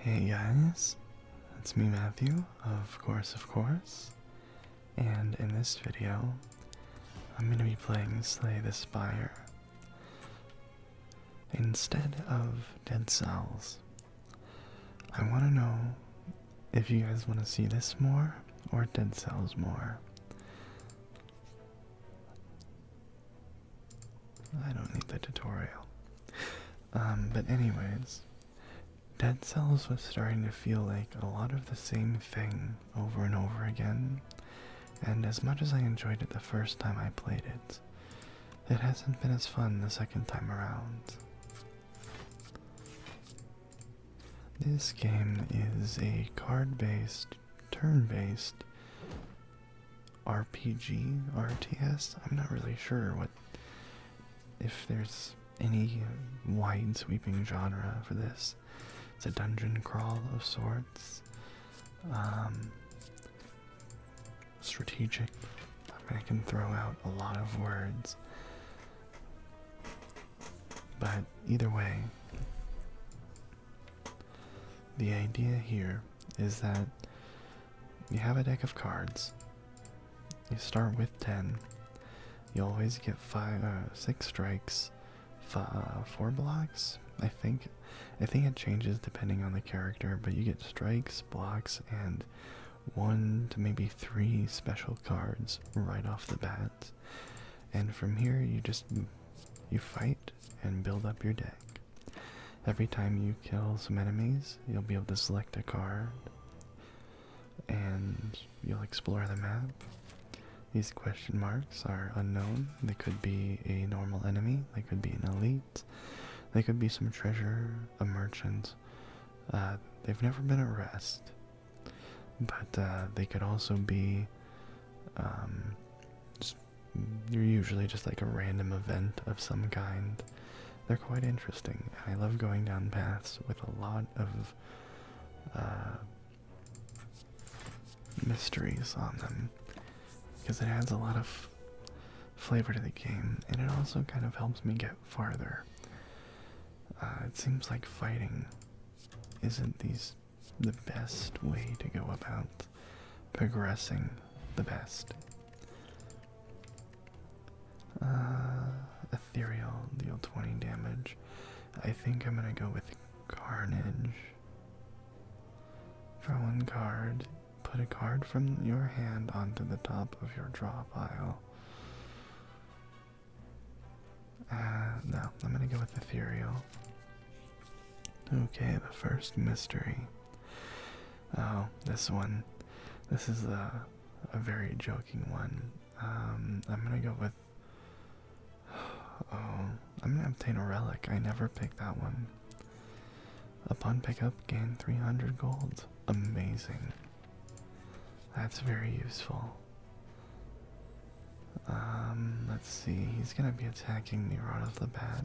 Hey guys, it's me Matthew, of course, of course, and in this video, I'm going to be playing Slay the Spire instead of Dead Cells. I want to know if you guys want to see this more or Dead Cells more. I don't need the tutorial. Um, but anyways, Dead Cells was starting to feel like a lot of the same thing over and over again, and as much as I enjoyed it the first time I played it, it hasn't been as fun the second time around. This game is a card based, turn based RPG, RTS. I'm not really sure what if there's any wide sweeping genre for this. It's a dungeon crawl of sorts. Um, strategic. I I can throw out a lot of words. But either way, the idea here is that you have a deck of cards. You start with 10. You always get five, uh, 6 strikes, uh, 4 blocks, I think. I think it changes depending on the character, but you get strikes, blocks, and 1 to maybe 3 special cards right off the bat. And from here, you just, you fight and build up your deck. Every time you kill some enemies, you'll be able to select a card and you'll explore the map. These question marks are unknown. They could be a normal enemy, they could be an elite, they could be some treasure, a merchant. Uh, they've never been at rest, but uh, they could also be um, you're usually just like a random event of some kind. They're quite interesting. I love going down paths with a lot of uh, mysteries on them because it adds a lot of flavor to the game and it also kind of helps me get farther. Uh, it seems like fighting isn't these the best way to go about progressing the best. Uh, ethereal deal 20 damage. I think I'm gonna go with Carnage. Draw one card, put a card from your hand onto the top of your draw pile. Uh, no, I'm gonna go with Ethereal. Okay, the first mystery. Oh, this one. This is a, a very joking one. Um, I'm gonna go with. Oh, I'm gonna obtain a relic. I never picked that one. Upon pickup, gain 300 gold. Amazing. That's very useful. Um, let's see. He's gonna be attacking me right off the bat.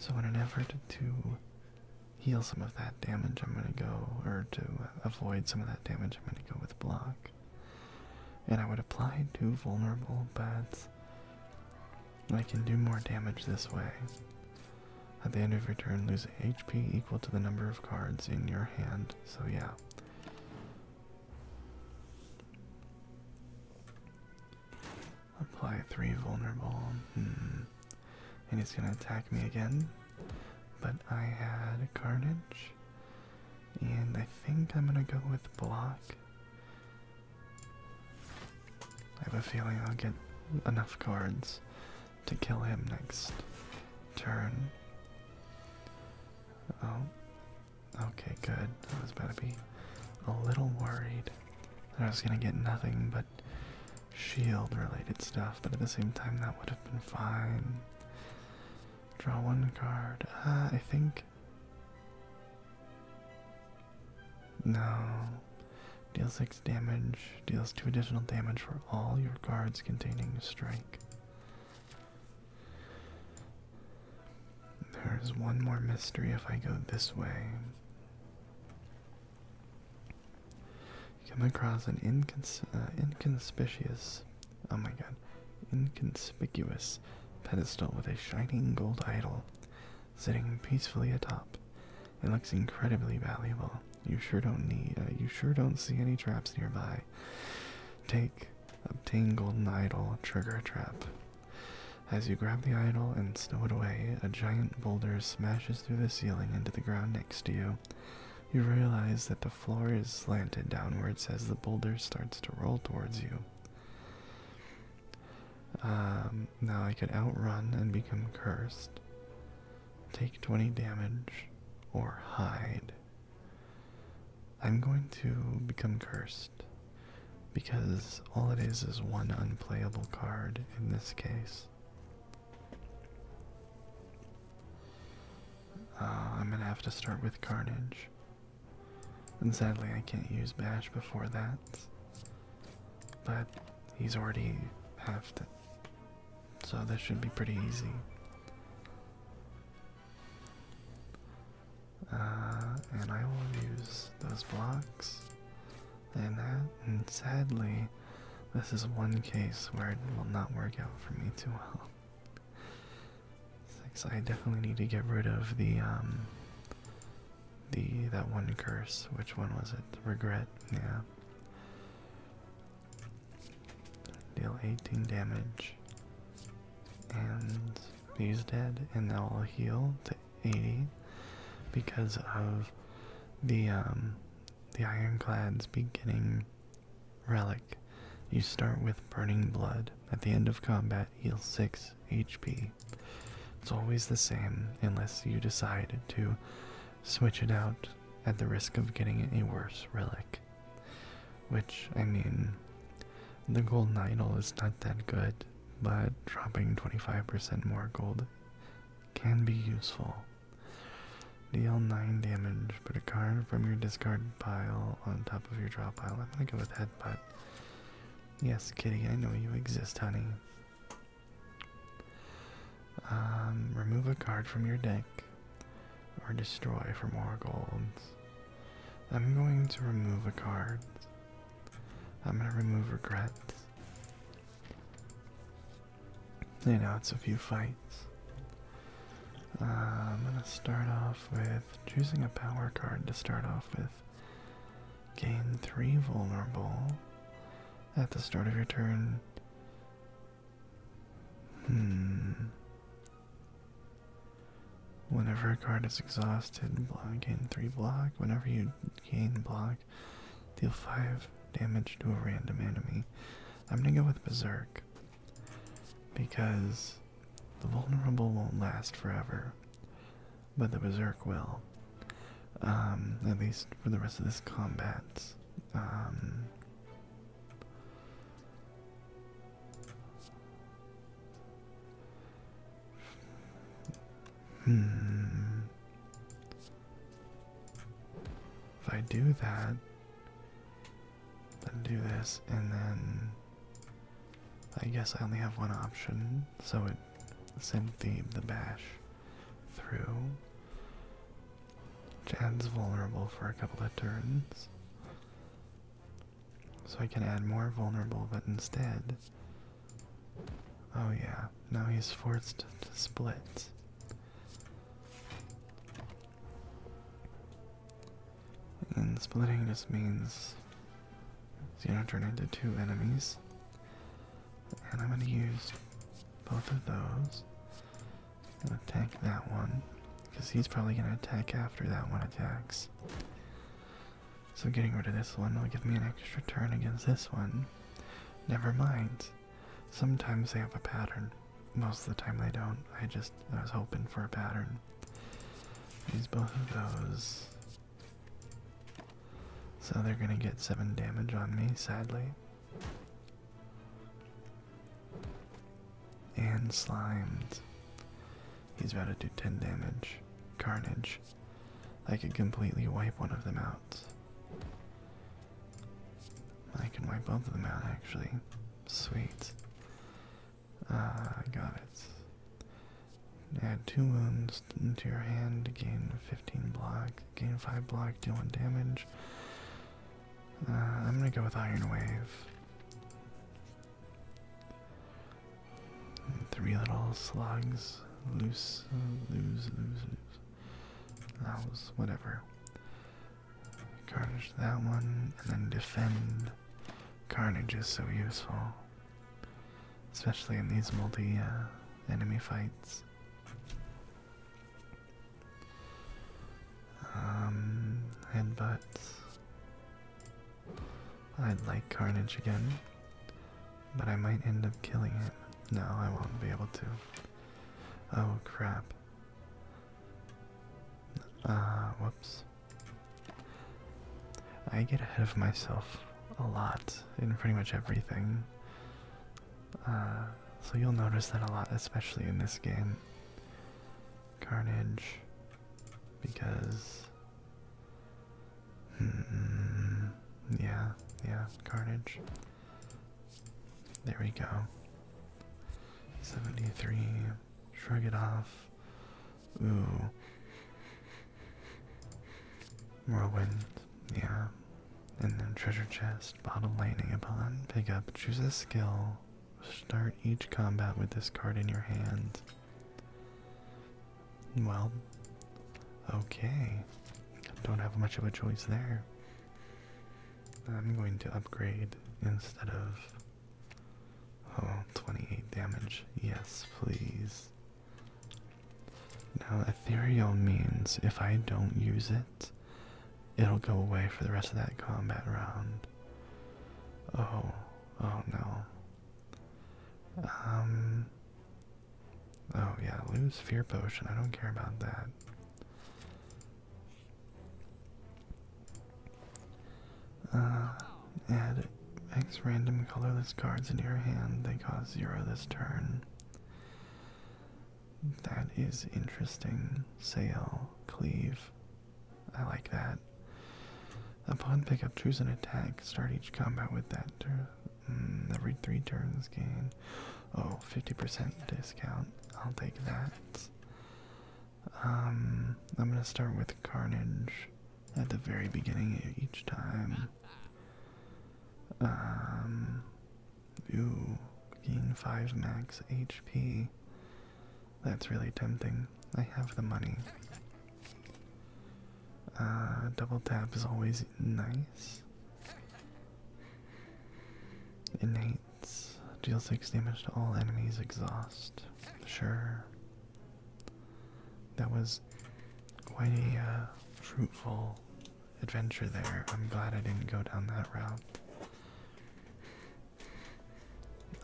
So in an effort to heal some of that damage, I'm going to go, or to avoid some of that damage, I'm going to go with block. And I would apply to vulnerable, but I can do more damage this way. At the end of your turn, lose HP equal to the number of cards in your hand. So yeah. Apply three vulnerable. Hmm. And he's gonna attack me again. But I had carnage. And I think I'm gonna go with block. I have a feeling I'll get enough cards to kill him next turn. Oh. Okay, good. I was going to be a little worried. I was gonna get nothing but shield related stuff, but at the same time, that would have been fine. Draw one card. Ah, I think. No. Deal 6 damage. Deals 2 additional damage for all your cards containing strike. There's one more mystery if I go this way. come across an uh, inconspicuous, oh my god, inconspicuous pedestal with a shining gold idol sitting peacefully atop. It looks incredibly valuable. You sure don't need, uh, you sure don't see any traps nearby. Take, a tangle idol, trigger trap. As you grab the idol and stow it away, a giant boulder smashes through the ceiling into the ground next to you. You realize that the floor is slanted downwards as the boulder starts to roll towards you. Um, now I could outrun and become cursed, take 20 damage, or hide. I'm going to become cursed because all it is is one unplayable card in this case. Uh, I'm gonna have to start with Carnage. And sadly, I can't use Bash before that. But he's already half to. So this should be pretty easy. Uh, and I will use those blocks and that. And sadly, this is one case where it will not work out for me too well. So I definitely need to get rid of the um, The that one curse. Which one was it? Regret. Yeah. Deal 18 damage. And he's dead, and now I'll heal 80 because of the um, the ironclad's beginning relic. You start with burning blood. At the end of combat, heal 6 HP. It's always the same unless you decide to switch it out at the risk of getting a worse relic. Which, I mean, the golden idol is not that good, but dropping 25% more gold can be useful. Deal 9 damage, put a card from your discard pile on top of your draw pile. I'm gonna go with Headbutt. Yes, kitty, I know you exist, honey. Um, remove a card from your deck or destroy for more golds. I'm going to remove a card. I'm gonna remove regrets. You know, it's a few fights. Uh, I'm gonna start off with choosing a power card to start off with. Gain 3 vulnerable at the start of your turn. Hmm. Whenever a card is exhausted, gain 3 block. Whenever you gain block. Deal 5 damage to a random enemy. I'm gonna go with Berserk. Because the vulnerable won't last forever. But the Berserk will. Um, at least for the rest of this combat. Um, Hmm. If I do that, then do this, and then I guess I only have one option, so it sent the, the bash through. Jad's vulnerable for a couple of turns. So I can add more vulnerable, but instead Oh, yeah, now he's forced to split. And splitting just means he's gonna turn into two enemies. And I'm gonna use both of those. I'm gonna attack that one, because he's probably gonna attack after that one attacks. So getting rid of this one will give me an extra turn against this one. Never mind. Sometimes they have a pattern. Most of the time they don't. I just I was hoping for a pattern. Use both of those. So they're gonna get seven damage on me, sadly. And slimed. He's about to do 10 damage. Carnage. I could completely wipe one of them out. I can wipe both of them out, actually. Sweet. Ah, got it. Add two wounds to your hand, gain 15 block, gain 5 block, deal 1 damage. Uh, I'm gonna go with Iron Wave. Three little slugs, loose, uh, lose, lose, lose. That was whatever. Carnage that one, and then defend. Carnage is so useful, especially in these multi-enemy uh, fights. Um, headbutt. I'd like Carnage again, but I might end up killing him. No, I won't be able to. Oh crap. Uh, whoops. I get ahead of myself a lot in pretty much everything. Uh, so you'll notice that a lot, especially in this game. Carnage, because Hmm, yeah, yeah, carnage. There we go. 73. Shrug it off. Ooh. wind. yeah. And then treasure chest, bottom landing upon, pick up, choose a skill, start each combat with this card in your hand. Well, okay. Don't have much of a choice there. I'm going to upgrade instead of. Oh, 28 damage. Yes, please. Now, ethereal means if I don't use it, it'll go away for the rest of that combat round. Oh, oh no. Um, Oh yeah, lose fear potion. I don't care about that. Uh, add X random colorless cards into your hand. They cause zero this turn. That is interesting. Sail, cleave. I like that. Upon pickup, choose an attack. Start each combat with that mm, every three turns, gain. Oh, 50% discount. I'll take that. Um, I'm gonna start with Carnage at the very beginning each time. Um, ooh, gain 5 max HP. That's really tempting. I have the money. Uh, double tap is always nice. Innates. Deal 6 damage to all enemies. Exhaust. Sure. That was quite a uh, fruitful adventure there. I'm glad I didn't go down that route.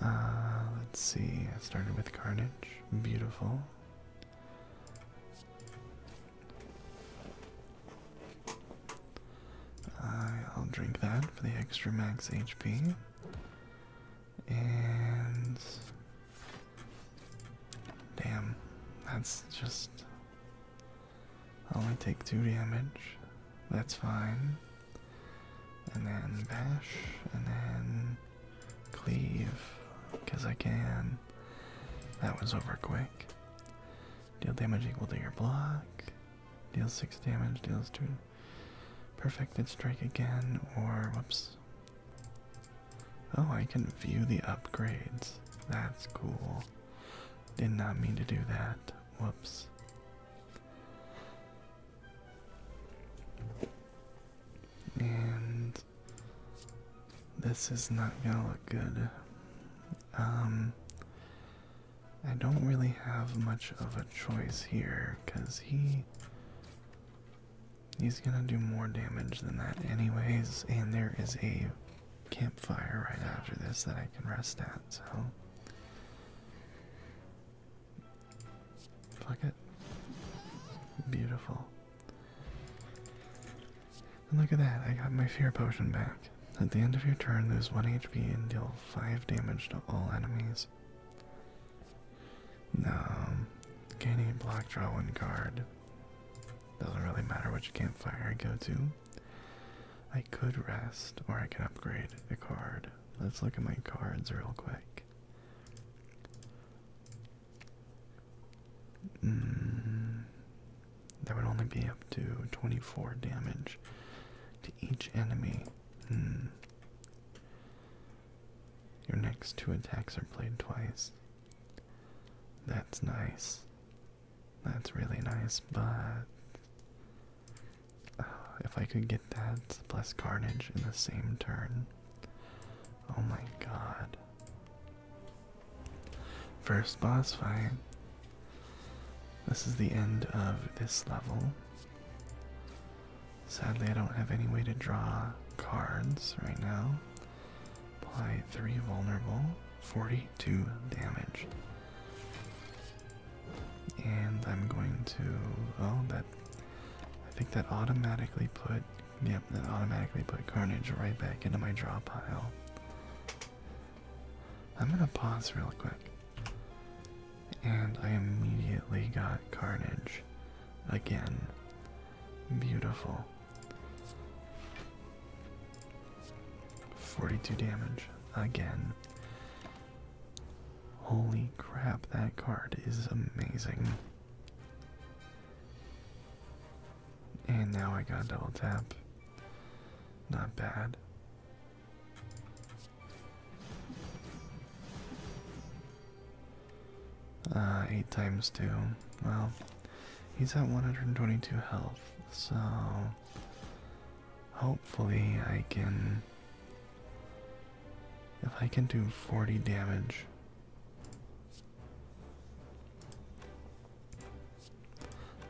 Uh, let's see. I started with Carnage. Beautiful. I'll drink that for the extra max HP. And. Damn, that's just. I only take two damage. That's fine. And then bash, and then Cleave, because I can. That was over quick. Deal damage equal to your block. Deals 6 damage, deals 2. Perfected strike again, or whoops. Oh, I can view the upgrades. That's cool. Did not mean to do that. Whoops. And this is not gonna look good. Um, I don't really have much of a choice here because he. He's gonna do more damage than that, anyways, and there is a campfire right after this that I can rest at, so. Fuck it. Beautiful look at that, I got my fear potion back. At the end of your turn, lose 1 HP and deal 5 damage to all enemies. No, gain a block, draw one card. Doesn't really matter which campfire I go to. I could rest, or I can upgrade a card. Let's look at my cards real quick. Mm, that would only be up to 24 damage to each enemy. Hmm. Your next two attacks are played twice. That's nice. That's really nice, but. Uh, if I could get that plus Carnage in the same turn, Oh my god. First boss fight. This is the end of this level. Sadly, I don't have any way to draw cards right now. Apply 3 vulnerable, 42 damage. And I'm going to. Oh, that. I think that automatically put Yep, that automatically put Carnage right back into my draw pile. I'm gonna pause real quick. And I immediately got Carnage again. Beautiful. 42 damage again. Holy crap, that card is amazing. And now I got double tap. Not bad. Uh, 8 times 2. Well, he's at 122 health, so hopefully I can. If I can do 40 damage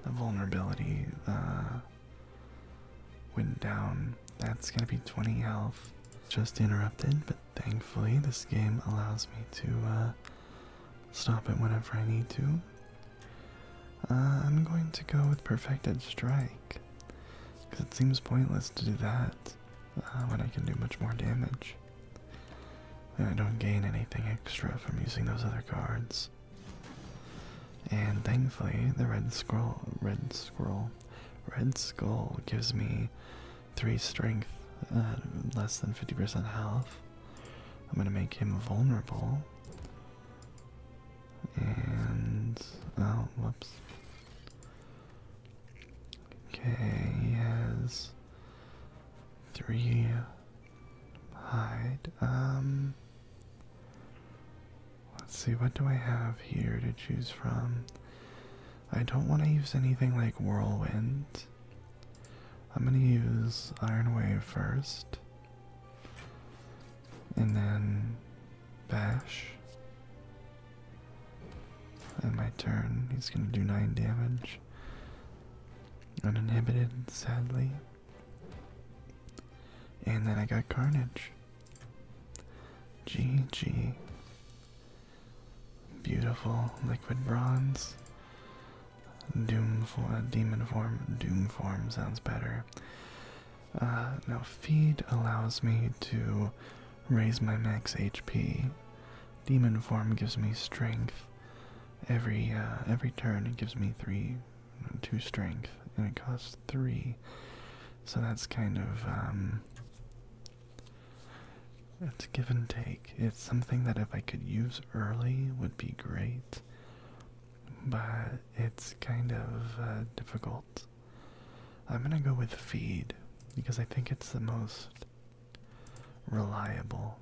the vulnerability uh, went down. That's gonna be 20 health. Just interrupted, but thankfully this game allows me to uh, stop it whenever I need to. Uh, I'm going to go with Perfected Strike, because it seems pointless to do that uh, when I can do much more damage. I don't gain anything extra from using those other cards. And thankfully, the red scroll, red scroll, red skull gives me three strength, uh, less than 50% health. I'm gonna make him vulnerable. And oh, whoops. Okay, he three hide. Um let's see, what do I have here to choose from? I don't want to use anything like whirlwind. I'm gonna use Iron Wave first. And then Bash. On my turn, he's going to do 9 damage. Uninhibited, sadly. And then I got Carnage. GG. Beautiful liquid bronze. Doom for uh, demon form. Doom form sounds better. Uh, now feed allows me to raise my max HP. Demon form gives me strength. Every uh, every turn it gives me three, two strength, and it costs three. So that's kind of it's um, give and take. It's something that if I could use early would be great, but it's kind of uh, difficult. I'm gonna go with feed because I think it's the most reliable.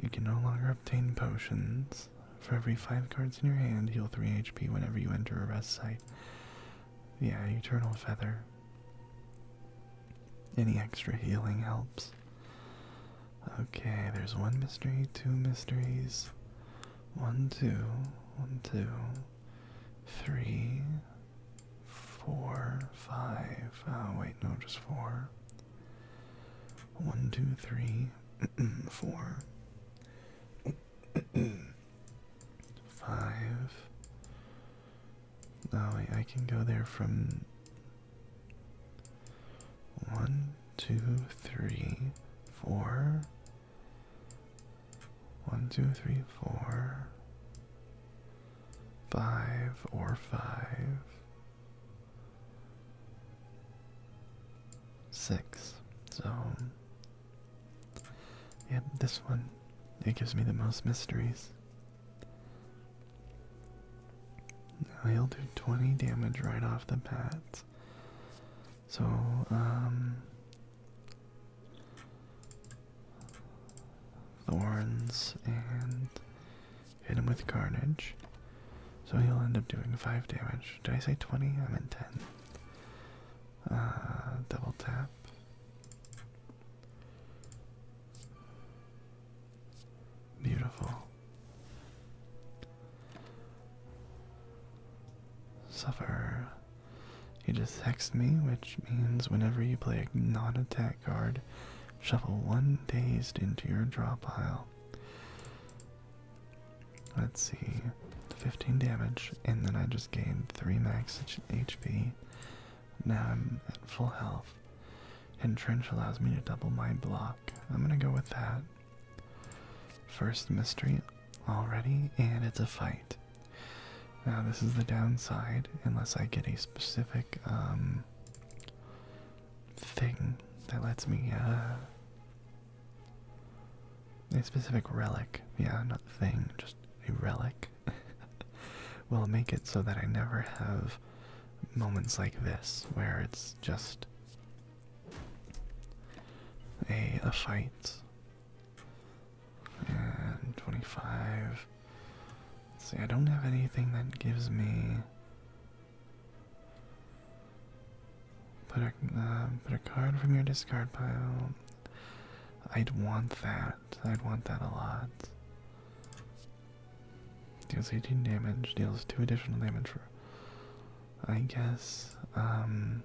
You can no longer obtain potions. For every 5 cards in your hand, heal 3 HP whenever you enter a rest site. Yeah, Eternal Feather. Any extra healing helps. Okay, there's one mystery, two mysteries. One, two, one, two, three, four, five. Ah, wait, no, just four. One, two, three, four, five. Oh, wait, I can go there from one, two, three, four, one, two, three, four, five, or five, six. So, yep, this one, it gives me the most mysteries. Now he'll do 20 damage right off the bat. So, um, thorns and hit him with carnage. So he'll end up doing 5 damage. Did I say 20? I meant 10. Uh, double tap. Beautiful. Suffer you just text me, which means whenever you play a non-attack card, shuffle one dazed into your draw pile. Let's see, 15 damage, and then I just gained 3 max HP. Now I'm at full health. And Trench allows me to double my block. I'm gonna go with that. First mystery already, and it's a fight. Now this is the downside, unless I get a specific um, thing that lets me, uh, a specific relic, yeah, not thing, just a relic, will make it so that I never have moments like this, where it's just a, a fight and 25. see, I don't have anything that gives me. Put a, uh, put a card from your discard pile. I'd want that. I'd want that a lot. Deals 18 damage, deals 2 additional damage for. I guess, um.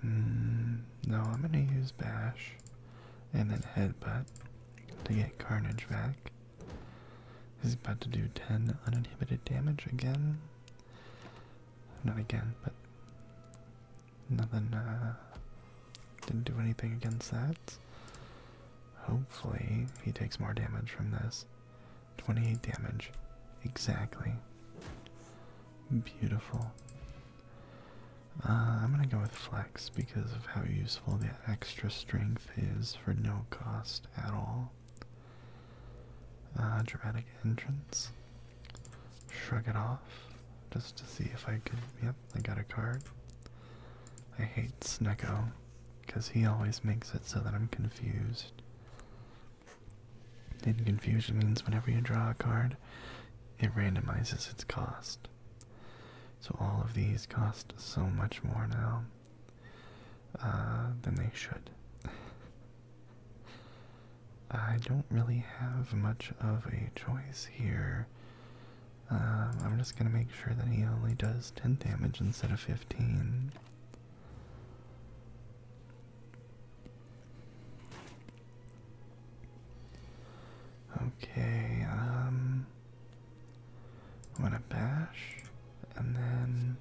Hmm, no, I'm going to use Bash and then Headbutt to get Carnage back. He's about to do 10 uninhibited damage again. Not again, but nothing, uh, didn't do anything against that. Hopefully, he takes more damage from this. 28 damage. Exactly. Beautiful. Uh, I'm gonna go with flex because of how useful the extra strength is for no cost at all. Uh, dramatic entrance. Shrug it off just to see if I can. Yep, I got a card. I hate Sneko because he always makes it so that I'm confused. Hidden Confusion means whenever you draw a card, it randomizes its cost. So all of these cost so much more now uh, than they should. I don't really have much of a choice here. Um, I'm just gonna make sure that he only does 10 damage instead of 15. Okay, um I'm gonna bash and then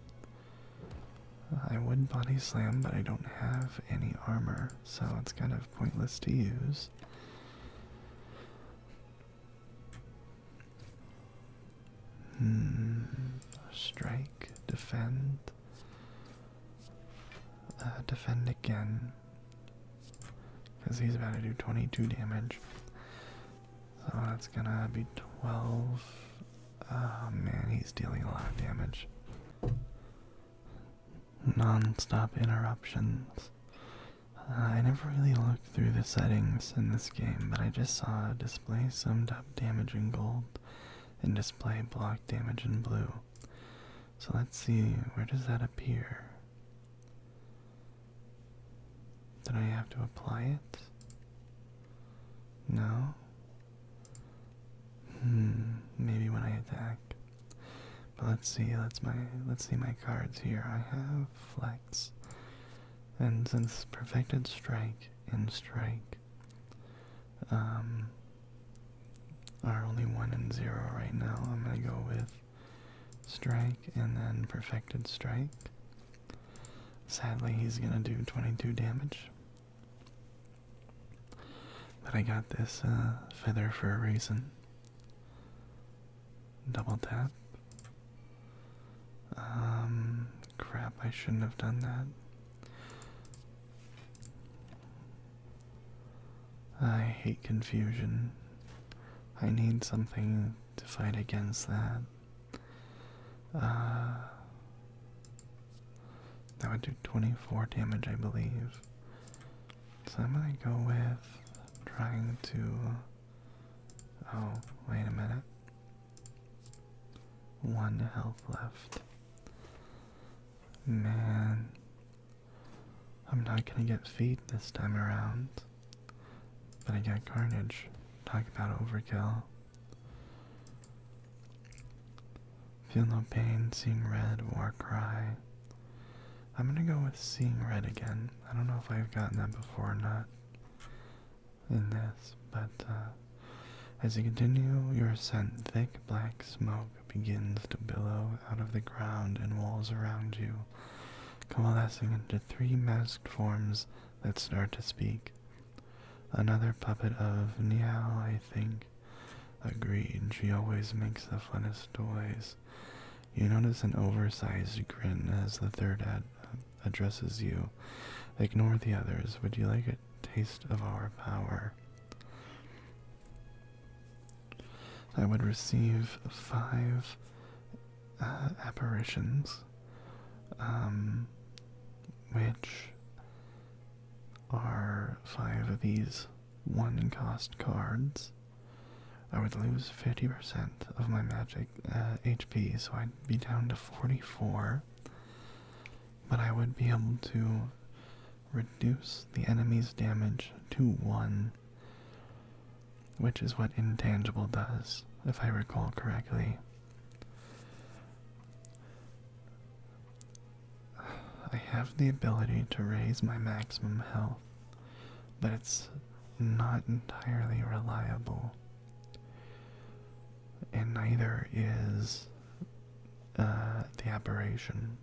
I would body slam, but I don't have any armor, so it's kind of pointless to use. Hmm. Strike, defend. Uh, defend again because he's about to do 22 damage. So that's gonna be 12. Oh man, he's dealing a lot of damage. Non stop interruptions. Uh, I never really looked through the settings in this game, but I just saw display summed up damage in gold and display block damage in blue. So let's see, where does that appear? Did I have to apply it? No? Hmm, maybe when I attack. But let's see, let's my let's see my cards here. I have flex. And since perfected strike and strike, um, are only 1 and 0 right now. I'm going to go with strike and then perfected strike. Sadly, he's going to do 22 damage. But I got this uh, feather for a reason. Double tap. Um, crap, I shouldn't have done that. I hate confusion. I need something to fight against that. Uh, that would do 24 damage, I believe. So I'm gonna go with trying to. Oh, wait a minute. One health left. Man, I'm not gonna get feet this time around. But I got carnage. Talk about overkill. Feel no pain, seeing red, war cry. I'm gonna go with seeing red again. I don't know if I've gotten that before or not in this, but uh, as you continue your ascent, thick black smoke begins to billow out of the ground and walls around you, coalescing into three masked forms that start to speak. Another puppet of Niao, I think, agreed. She always makes the funnest toys. You notice an oversized grin as the third addresses you. Ignore the others. Would you like it? taste of our power. I would receive five uh, apparitions, um, which are five of these one cost cards. I would lose 50% of my magic HP, uh, so I'd be down to 44 but I would be able to reduce the enemy's damage to 1, which is what Intangible does, if I recall correctly. I have the ability to raise my maximum health, but it's not entirely reliable. And neither is uh, the aberration.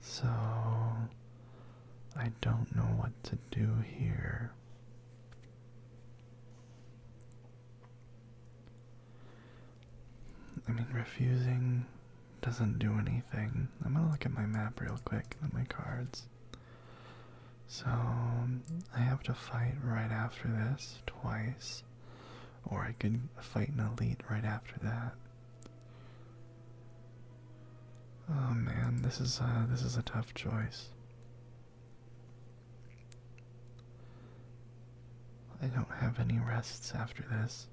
So I don't know what to do here. I mean, refusing doesn't do anything. I'm gonna look at my map real quick and my cards. So I have to fight right after this twice. Or I could fight an elite right after that. Oh man, this is uh, this is a tough choice. I don't have any rests after this.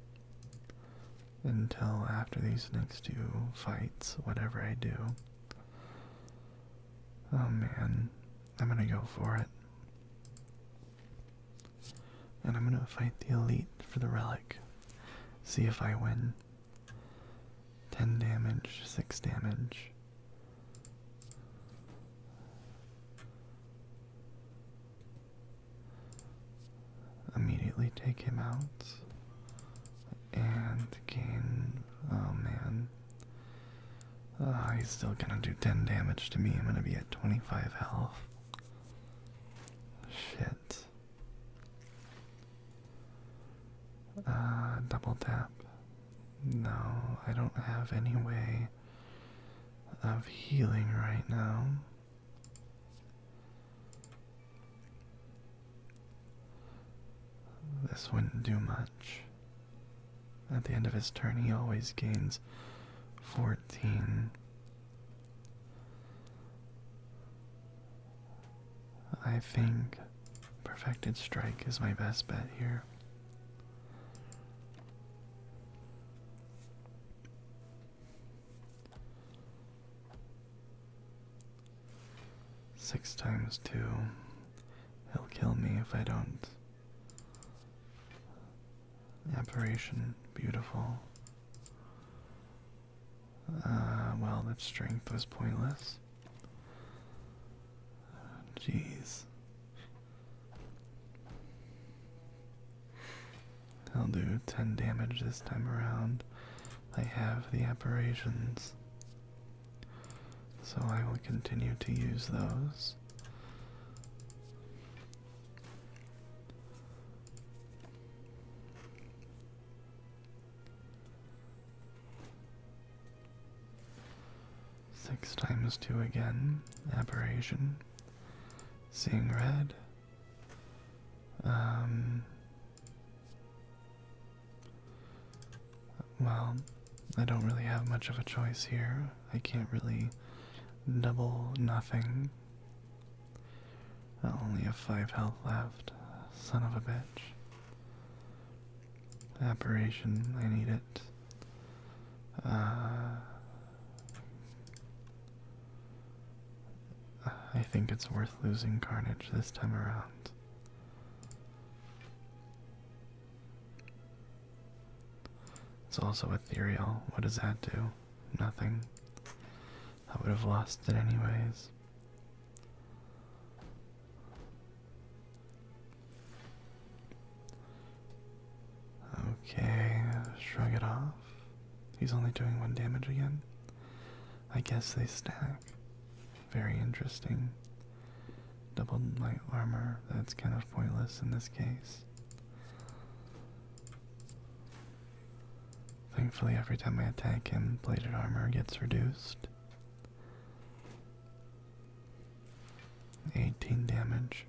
Until after these next two fights, whatever I do. Oh man, I'm gonna go for it. And I'm gonna fight the elite for the relic. See if I win. 10 damage, 6 damage. Immediately take him out and gain. Oh man. Ah, he's still gonna do 10 damage to me. I'm gonna be at 25 health. Shit. Uh, double tap. No, I don't have any way of healing right now. This wouldn't do much. At the end of his turn, he always gains 14. I think perfected strike is my best bet here. Six times two. He'll kill me if I don't. Aberration, beautiful. Uh, well, that strength was pointless. Jeez. I'll do 10 damage this time around. I have the apparitions, So I will continue to use those. Six times two again, aberration. Seeing red. Um. Well, I don't really have much of a choice here. I can't really double nothing. I only have five health left. Son of a bitch. Apparition, I need it. Uh, I think it's worth losing Carnage this time around. It's also ethereal. What does that do? Nothing. I would have lost it anyways. Okay, shrug it off. He's only doing one damage again. I guess they stack. Very interesting. Double light armor, that's kind of pointless in this case. Thankfully, every time I attack him, plated armor gets reduced. 18 damage.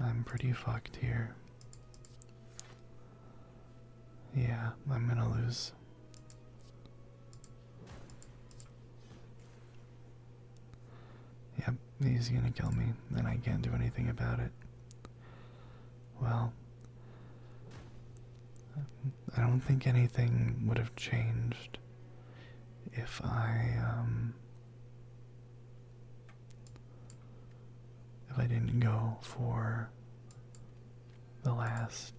I'm pretty fucked here. Yeah, I'm gonna lose. Yep, he's gonna kill me, and I can't do anything about it. Well, I don't think anything would have changed if I, um, if I didn't go for the last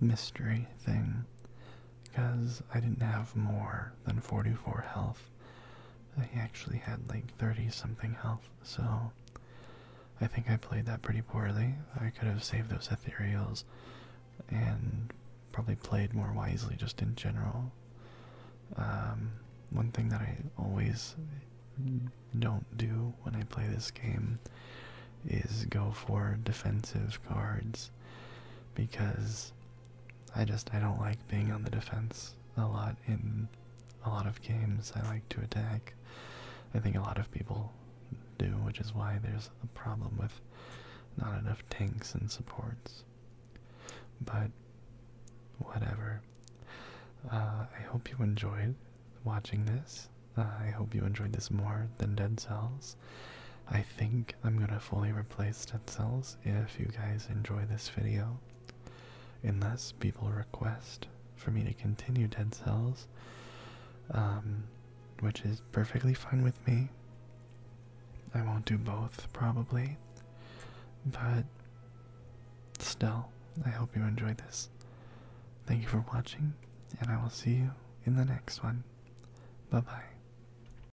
mystery thing because I didn't have more than 44 health. I actually had like 30 something health, so I think I played that pretty poorly. I could have saved those ethereals and probably played more wisely just in general. Um, one thing that I always don't do when I play this game is go for defensive cards because I just I don't like being on the defense a lot in a lot of games. I like to attack. I think a lot of people do, which is why there's a problem with not enough tanks and supports. But whatever. Uh, I hope you enjoyed watching this. Uh, I hope you enjoyed this more than Dead Cells. I think I'm going to fully replace dead cells if you guys enjoy this video. Unless people request for me to continue dead cells, um, which is perfectly fine with me. I won't do both, probably. But still, I hope you enjoyed this. Thank you for watching, and I will see you in the next one. Bye bye.